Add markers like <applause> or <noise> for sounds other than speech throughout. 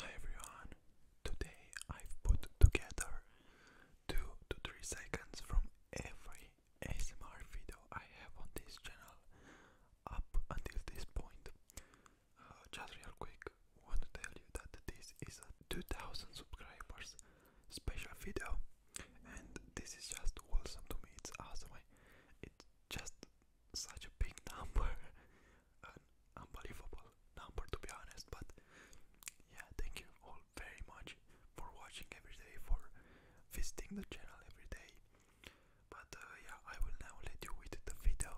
Hi everyone! Today I've put together 2 to 3 seconds from every ASMR video I have on this channel up until this point. Uh, just real quick, want to tell you that this is a 2000 subscribers special video and this is just awesome to me, it's awesome. It's just such a big <laughs> number unbelievable number to be honest but yeah thank you all very much for watching every day for visiting the channel every day but uh, yeah I will now let you with the video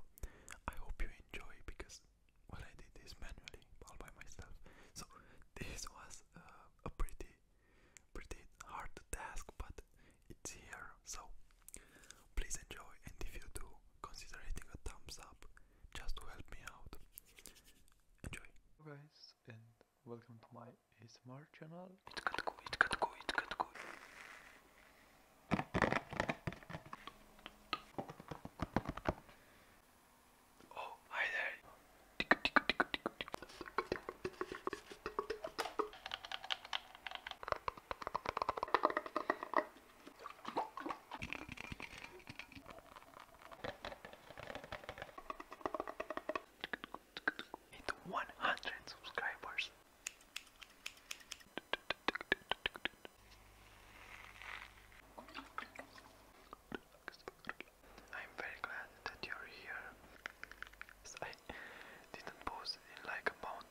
I hope you enjoy because what I did is manually all by myself so this was uh, a pretty pretty hard task but it's here. So please enjoy, and if you do, consider hitting a thumbs up just to help me out. Enjoy. guys, and welcome to my ASMR channel. It could go, it could go, it could go. Oh, hi there. Hit 100 subscribers. I'm very glad that you're here. I didn't post in like a month.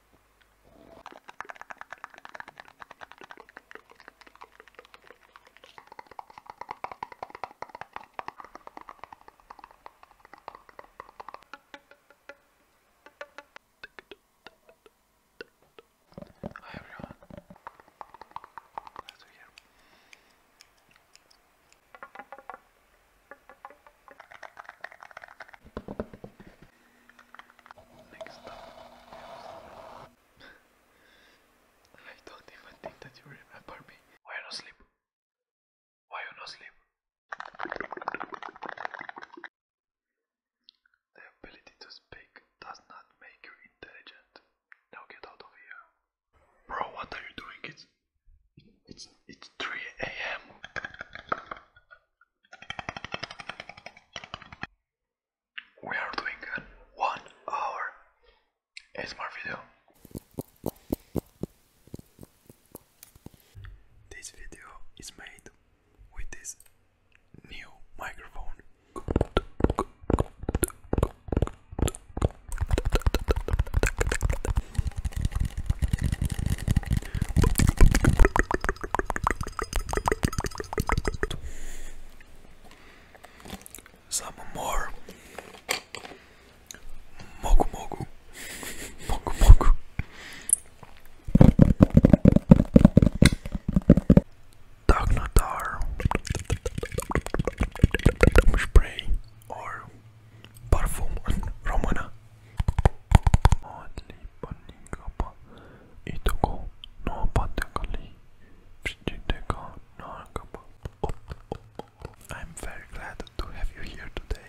Hi everyone. Glad to hear. Next up, I don't even think that you remember me. Why you sleep? Why you not sleep? The ability to speak does not make you intelligent. Now get out of here. Bro, what are you doing? It's it's it's 3 a.m. We are doing a one hour ASMR video. This video is made with this new microphone. Some more Mogu Mogu Mogu Mogu Dagnatar Spray or Parfum Romana I'm very glad to have you here today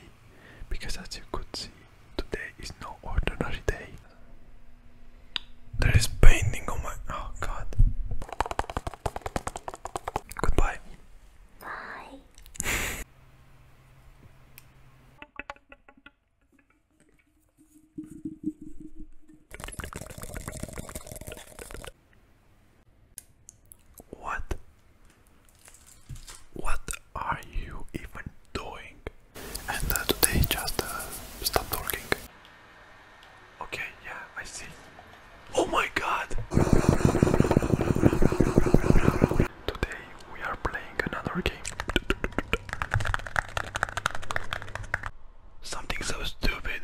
because as you could see today is no ordinary day. There is painting on my oh god. Goodbye. Bye. <laughs> What? What are you even doing? And uh, today just uh, stop talking. Okay, yeah, I see. Oh my god! Today we are playing another game. Something so stupid.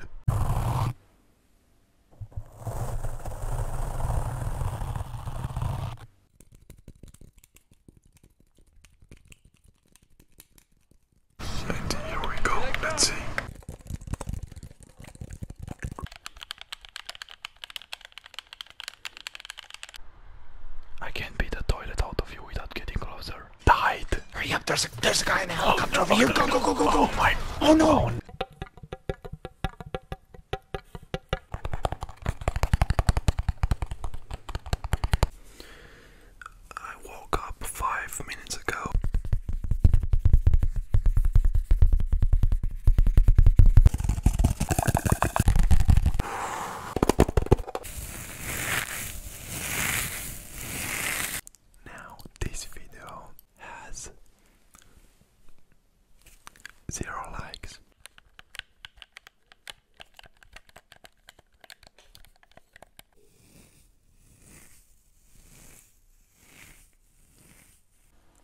And here we go, let's see. I can't beat the toilet out of you without getting closer. Died! Hurry up, there's a, there's a guy in a oh, helicopter oh, over no, here! Go, go, go, go, go! Oh my... Oh no! I woke up five minutes ago. Now, this video has zero likes.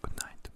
Good night.